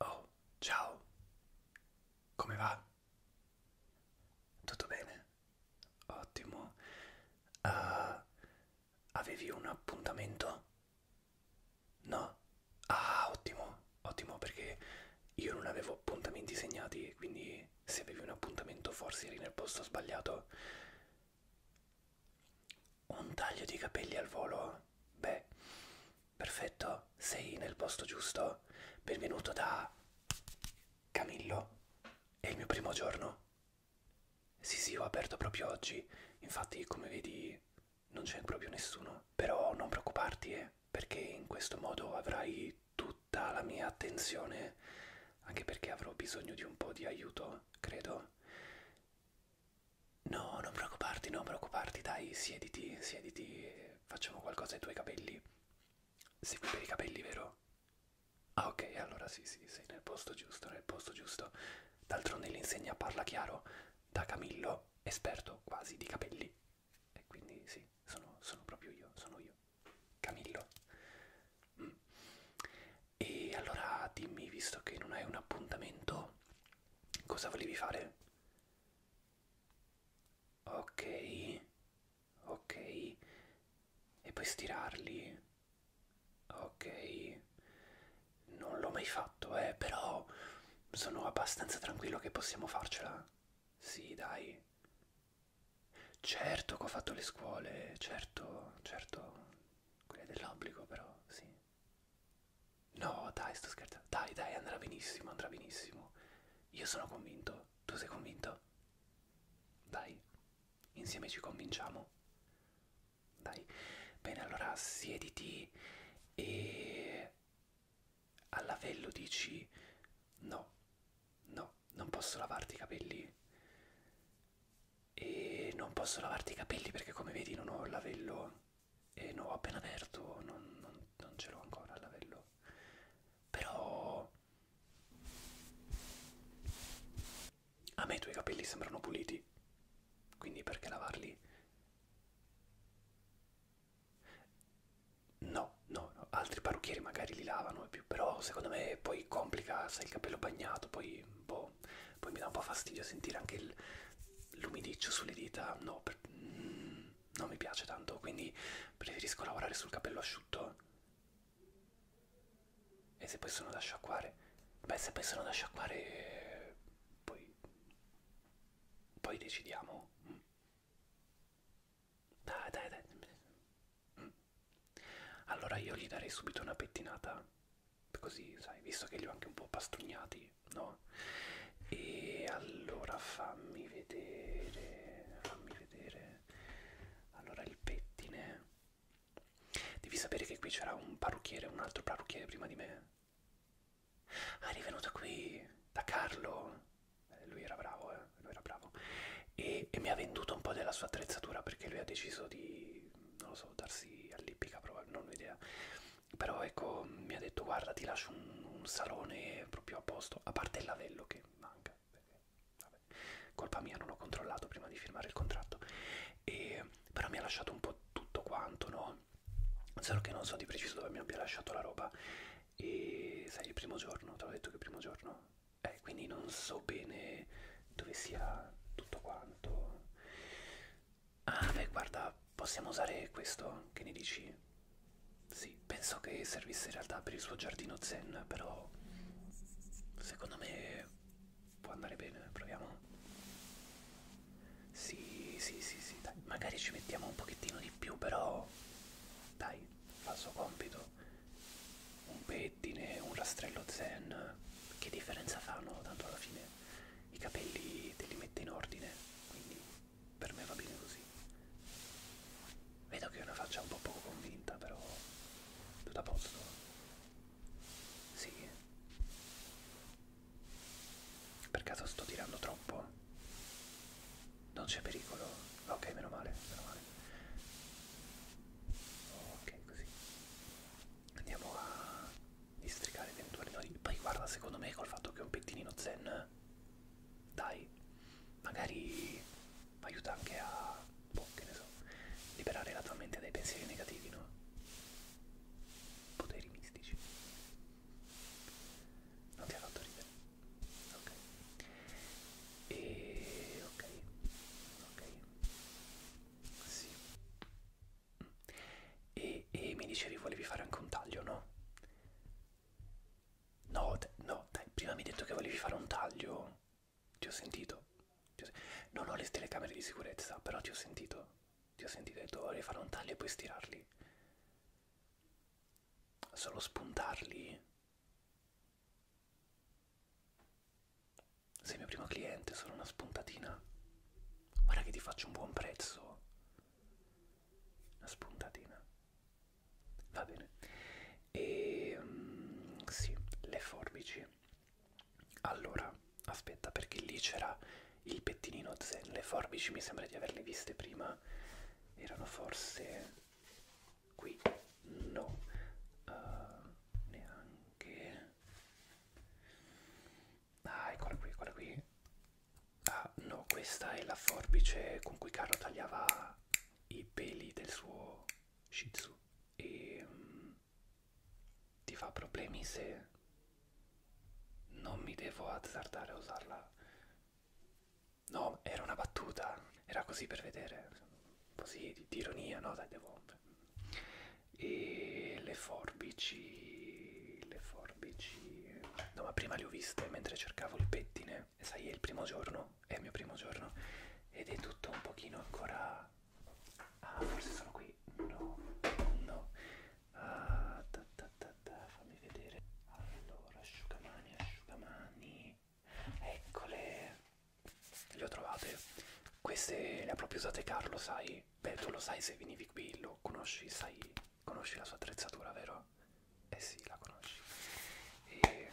Oh, ciao. Come va? Tutto bene? Ottimo. Uh, avevi un appuntamento? No? Ah, ottimo, ottimo perché io non avevo appuntamenti segnati, quindi se avevi un appuntamento forse eri nel posto sbagliato. Un taglio di capelli al volo? Beh, perfetto, sei nel posto giusto. Benvenuto da Camillo. È il mio primo giorno. Sì, sì, ho aperto proprio oggi. Infatti, come vedi, non c'è proprio nessuno. Però non preoccuparti, eh, perché in questo modo avrai tutta la mia attenzione. Anche perché avrò bisogno di un po' di aiuto, credo. No, non preoccuparti, non preoccuparti, dai, siediti, siediti, facciamo qualcosa ai tuoi capelli. Sei qui per i capelli, vero? Ah, ok, allora sì, sì, sei nel posto giusto, nel posto giusto. D'altronde l'insegna parla chiaro da Camillo, esperto quasi di capelli. E quindi sì, sono, sono proprio io, sono io. Camillo. Mm. E allora dimmi, visto che non hai un appuntamento, cosa volevi fare? Ok, ok, e puoi stirarli. Ok, non l'ho mai fatto, eh, però sono abbastanza tranquillo che possiamo farcela. Sì, dai. Certo che ho fatto le scuole, certo, certo, quella dell'obbligo però, sì. No, dai, sto scherzando. Dai, dai, andrà benissimo, andrà benissimo. Io sono convinto. Tu sei convinto? Dai, insieme ci convinciamo. Dai. Bene, allora siediti e al lavello dici no, no, non posso lavarti i capelli e non posso lavarti i capelli perché come vedi non ho il lavello e non ho appena aperto non, non, non ce l'ho ancora il lavello però a me i tuoi capelli sembrano puliti quindi perché lavarli no no, no. altri parrucchieri magari li lavano e più però secondo me poi complica se il capello bagnato poi boh po'... Poi mi dà un po' fastidio sentire anche l'umidiccio sulle dita, no, per, mm, non mi piace tanto, quindi preferisco lavorare sul capello asciutto. E se poi sono da sciacquare? Beh, se poi sono da sciacquare, poi... poi decidiamo. Mm. Dai, dai, dai. Mm. Allora io gli darei subito una pettinata, così, sai, visto che li ho anche un po' pastrugnati, no? E allora fammi vedere, fammi vedere. Allora il pettine. Devi sapere che qui c'era un parrucchiere, un altro parrucchiere prima di me. Ah, è venuto qui da Carlo. Eh, lui era bravo, eh? lui era bravo. E, e mi ha venduto un po' della sua attrezzatura perché lui ha deciso di non lo so, darsi all'ippica, non ho idea. Però ecco, mi ha detto guarda ti lascio un, un salone proprio a posto, a parte il lavello che manca, perché, vabbè, colpa mia non l'ho controllato prima di firmare il contratto. E, però mi ha lasciato un po' tutto quanto, no? Solo che non so di preciso dove mi abbia lasciato la roba. E sai, il primo giorno, te l'ho detto che il primo giorno eh, quindi non so bene dove sia tutto quanto ah beh guarda possiamo usare questo che ne dici sì penso che servisse in realtà per il suo giardino zen però secondo me può andare bene proviamo sì sì sì sì dai magari ci mettiamo un pochettino di più però dai fa il suo compito un, capelletti né un rastrello zen che differenza fanno tanto alla fine i capelli te li mette in ordine quindi per me va bene così vedo che è una faccia un po' poco convinta però tutto a posto sì per caso sto tirando troppo non c'è pericolo ok meno male meno male ok così andiamo a districare eventuali nodi poi guarda secondo me col fatto che è un pettinino zen dai magari aiuta anche a boh, che ne so liberare la tua mente dai pensieri negativi no poteri mistici non ti ha fatto ridere ok e ok ok sì. E, e mi dicevi volevi fare anche un taglio, no? No, no, dai, prima mi hai detto che volevi fare un taglio. Ti ho sentito. Ti ho sen non ho le telecamere di sicurezza, però ti ho sentito. Ti ho sentito, hai detto volevi fare un taglio e poi stirarli. Solo spuntarli. Sei mio primo cliente, sono una spuntatina. Guarda che ti faccio un buon prezzo. Una spuntatina. Va bene. E um, sì, le forbici. Allora, aspetta perché lì c'era il pettinino zen. Le forbici mi sembra di averle viste prima. Erano forse qui no uh, neanche ah eccola qui eccola qui ah no questa è la forbice con cui Carlo tagliava i peli del suo shih tzu e um, ti fa problemi se non mi devo azzardare a usarla no era una battuta era così per vedere così di, di ironia, no? Dai, devo... E le forbici, le forbici... No, ma prima le ho viste mentre cercavo il pettine. E sai, è il primo giorno, è il mio primo giorno. Ed è tutto un pochino ancora... Ah, forse sono qui. No, no. Ah, ta, ta, ta, ta. Fammi vedere. Allora, asciugamani, asciugamani. Eccole, le ho trovate. Queste le ha proprio usate Carlo, sai? Beh, tu lo sai se venivi qui, lo conosci, sai? Conosci la sua attrezzatura, vero? Eh sì, la conosci. E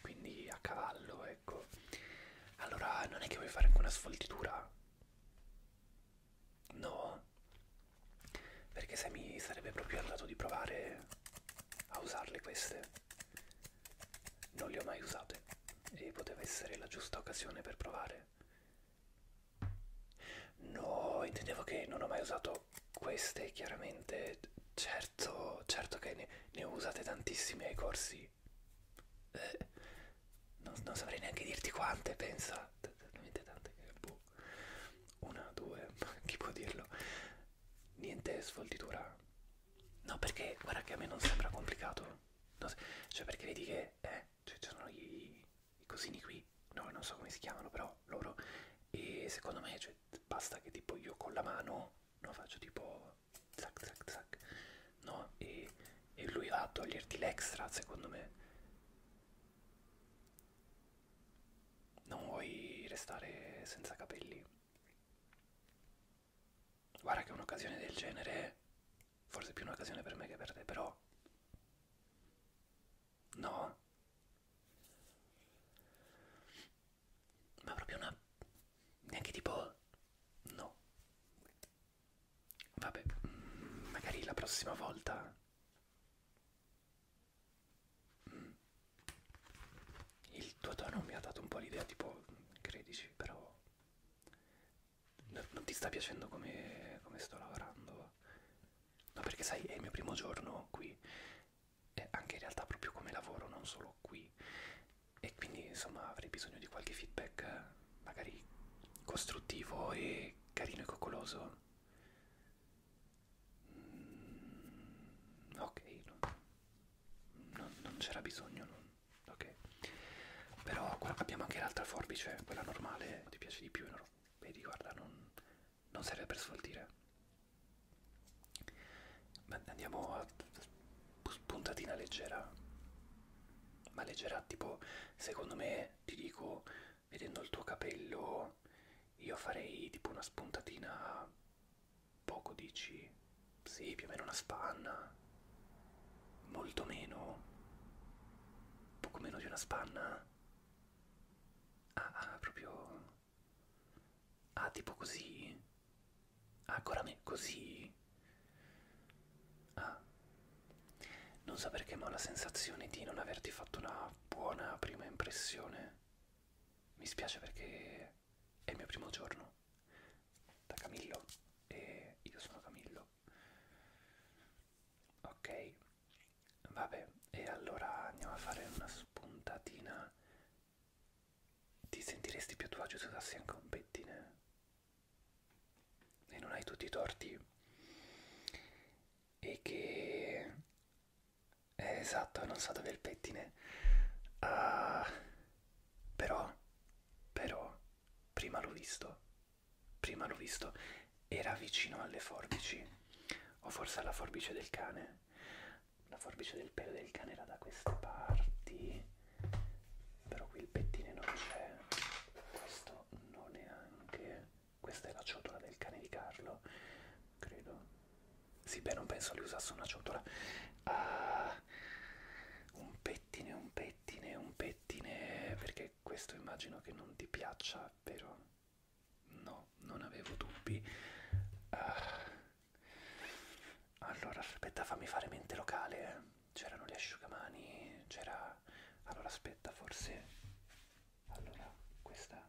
quindi a cavallo, ecco. Allora, non è che vuoi fare anche una sfoltitura? No? Perché se mi sarebbe proprio andato di provare a usarle queste non le ho mai usate e poteva essere la giusta occasione per provare no intendevo che non ho mai usato queste chiaramente certo certo che ne, ne ho usate tantissime ai corsi eh, non, non saprei neanche dirti quante pensa talmente tante che boh una due chi può dirlo niente sfoltitura. No, perché guarda che a me non sembra complicato. Non se cioè, perché vedi che eh, cioè, ci sono i, i cosini qui, no, non so come si chiamano, però loro. E secondo me, cioè, basta che tipo io con la mano no, faccio tipo zac zac zac, no? E, e lui va a toglierti l'extra, secondo me. Non vuoi restare senza capelli? Guarda che un'occasione del genere, forse più un'occasione per me che per te, però... No. Ma proprio una... neanche tipo... No. Vabbè, magari la prossima volta il tuo tono mi ha dato un po' l'idea tipo credici però non ti sta piacendo come, come sto lavorando no perché sai è il mio primo giorno qui e anche in realtà proprio come lavoro non solo qui e quindi insomma avrei bisogno di qualche feedback magari costruttivo e carino e coccoloso ok no. non, non c'era bisogno non. ok però abbiamo anche l'altra forbice quella normale ti piace di più no? vedi guarda non, non serve per sfoltire Beh, andiamo a puntatina leggera ma leggera tipo secondo me ti dico vedendo il tuo capello io farei tipo una spuntatina poco dici sì più o meno una spanna molto meno poco meno di una spanna ah, ah proprio ah tipo così ah ancora me così ah non so perché ma ho la sensazione di non averti fatto una buona prima impressione mi spiace perché è il mio primo giorno da Camillo e io sono Camillo. Ok, vabbè, e allora andiamo a fare una spuntatina. Ti sentiresti più a tuo agio se usassi anche un pettine? E non hai tutti i torti? E che eh, esatto, non so dove è il pettine. Uh, però, però, prima l'ho visto. Prima l'ho visto. Era vicino alle forbici. O forse alla forbice del cane. La forbice del pelo del cane era da queste parti. Però qui il pettine non c'è. Questo non neanche. Questa è la ciotola del cane di Carlo credo. Sì, beh, non penso li usasse una ciotola. Uh, un pettine, un pettine, un pettine, perché questo immagino che non ti piaccia, vero? No, non avevo dubbi. Uh, allora, aspetta, fammi fare mente locale. Eh. C'erano gli asciugamani, c'era... Allora, aspetta, forse... Allora, questa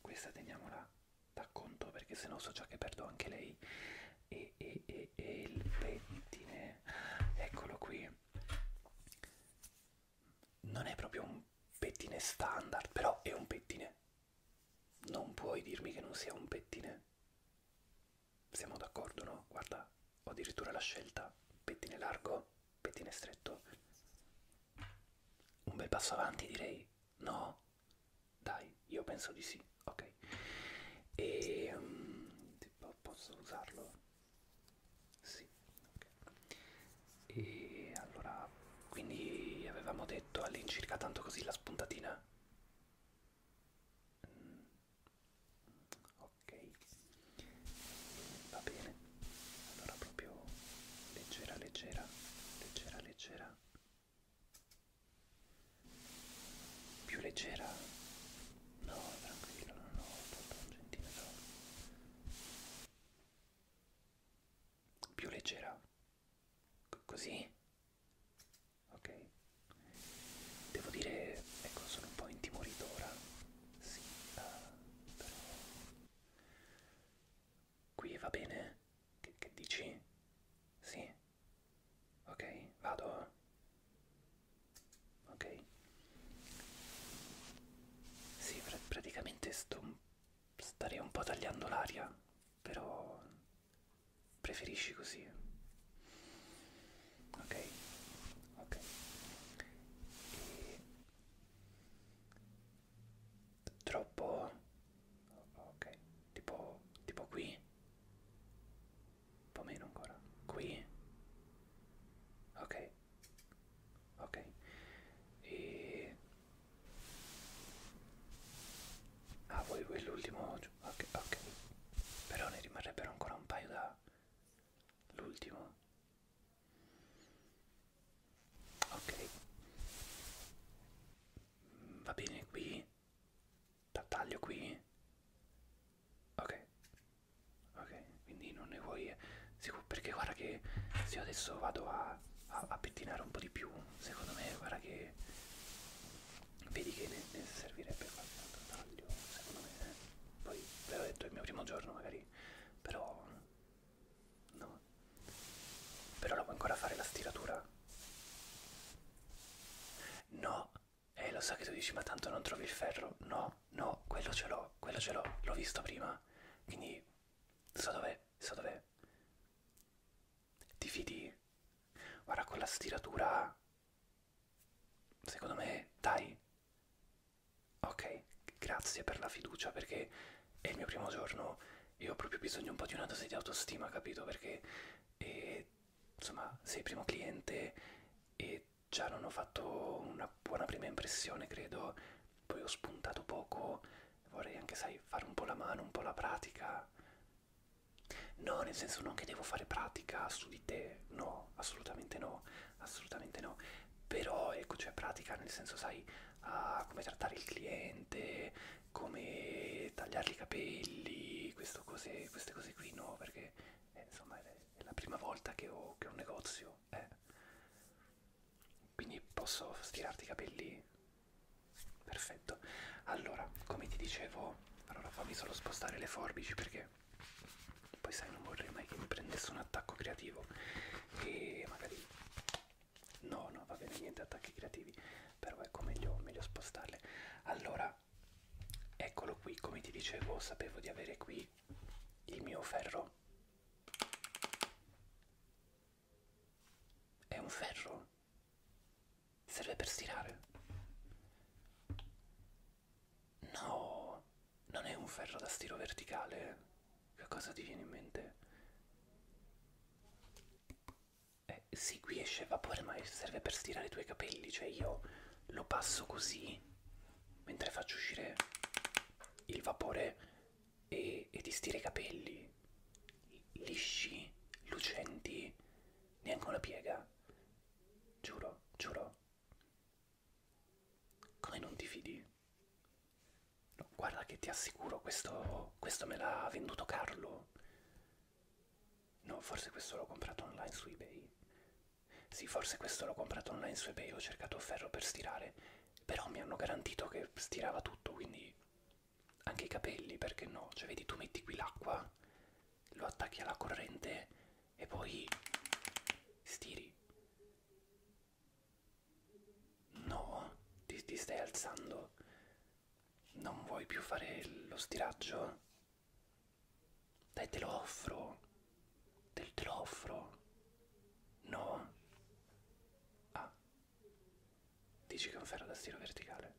questa teniamola da conto perché sennò so già che perdo anche lei e, e, e, e il pettine eccolo qui non è proprio un pettine standard però è un pettine non puoi dirmi che non sia un pettine siamo d'accordo no? guarda ho addirittura la scelta pettine largo pettine stretto un bel passo avanti direi No? Dai, io penso di sì, ok. E um, tipo, posso usarlo? Sì, ok. E allora, quindi avevamo detto all'incirca tanto così la spuntatina? Mm, ok, va bene allora proprio leggera leggera leggera leggera più leggera no tranquillo no no tutto un centimetro più leggera C così ok devo dire ecco sono un po' intimorito ora sì uh, però qui va bene? Che, che dici? Sì? Ok, vado. Ok. Sì, pr praticamente sto... starei un po' tagliando l'aria, però preferisci così. Ok, ok. E troppo ok tipo tipo qui un po' meno ancora qui ok ok e ah voi voi l'ultimo ok ok però ne rimarrebbero ancora un paio da l'ultimo ok va bene qui taglio qui ok ok quindi non ne vuoi eh, perché guarda che se io adesso vado a, a, a pettinare un po' di più secondo me guarda che vedi che ne, ne servirebbe qualche altro taglio secondo me eh? poi ve l'ho detto è il mio primo giorno magari però No. Però la puoi ancora fare la stiratura? No. Eh, lo so che tu dici, ma tanto non trovi il ferro. No, no, quello ce l'ho, quello ce l'ho. L'ho visto prima. Quindi, so dov'è, so dov'è. Ti fidi? Guarda, con la stiratura... Secondo me, dai. Ok, grazie per la fiducia perché è il mio primo giorno e ho proprio bisogno un po' di una dose di autostima, capito? Perché e, insomma sei il primo cliente e già non ho fatto una buona prima impressione, credo. Poi ho spuntato poco, vorrei anche, sai, fare un po' la mano, un po' la pratica. No, nel senso non che devo fare pratica su di te, no, assolutamente no, assolutamente no però ecco cioè pratica nel senso sai ah, come trattare il cliente come tagliargli i capelli questo cose, queste cose qui no perché eh, insomma è, è la prima volta che ho, che ho un negozio eh. quindi posso stirarti i capelli perfetto allora come ti dicevo allora fammi solo spostare le forbici perché poi sai non vorrei mai che mi prendesse un attacco creativo e magari no no va bene niente attacchi creativi però ecco meglio, meglio spostarle allora eccolo qui come ti dicevo sapevo di avere qui il mio ferro è un ferro serve per stirare no non è un ferro da stiro verticale? Eh? Che cosa ti viene in mente? Eh, sì, qui esce vapore, ma serve per stirare i tuoi capelli, cioè io lo passo così mentre faccio uscire il vapore e, e ti stira i capelli lisci, lucenti, neanche una piega. Giuro, giuro. Come non ti fidi? No, guarda che ti assicuro, questo, questo me l'ha venduto Carlo. No, forse questo l'ho comprato online su eBay. Sì, forse questo l'ho comprato online su eBay, ho cercato ferro per stirare, però mi hanno garantito che stirava tutto, quindi anche i capelli, perché no? Cioè, vedi, tu metti qui l'acqua, lo attacchi alla corrente e poi stiri. No, ti, ti stai alzando. Non vuoi più fare lo stiraggio? Dai, te lo offro. Te, te lo offro. No. Ah. Dici che è un ferro da stiro verticale?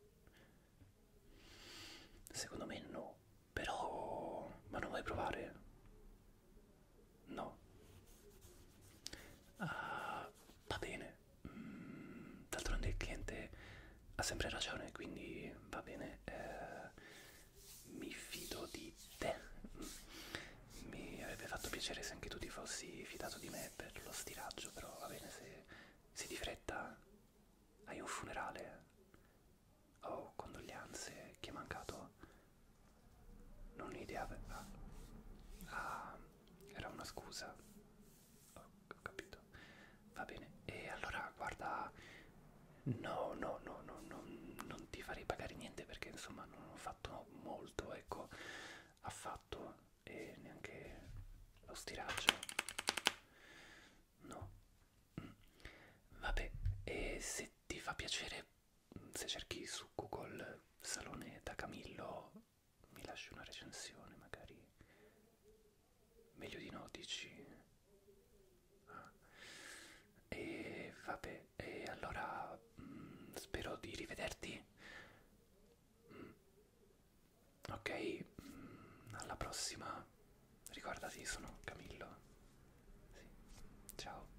Secondo me no. Però... Ma non vuoi provare? No. Uh, va bene. Mm, D'altronde il cliente ha sempre ragione, quindi va bene. Eh, mi fido di te. Mm. Mi avrebbe fatto piacere se anche tu ti fossi fidato di me per lo stiraggio, però va bene se, se di fretta hai un funerale Oh, condoglianze, chi è mancato? Non un'idea aveva. Ah. ah, era una scusa. Oh, ho capito. Va bene. E allora, guarda, no, no, no, no, no non ti farei pagare niente perché insomma non ho fatto molto, ecco, affatto e neanche lo stiraggio. No. Mm. Vabbè, e se ti fa piacere se cerchi su Google Salone da Camillo mi lasci una recensione magari meglio di no dici ah. e vabbè e allora mh, mm, spero di rivederti mh. Mm. ok mh, mm, alla prossima ricordati sono Camillo sì. ciao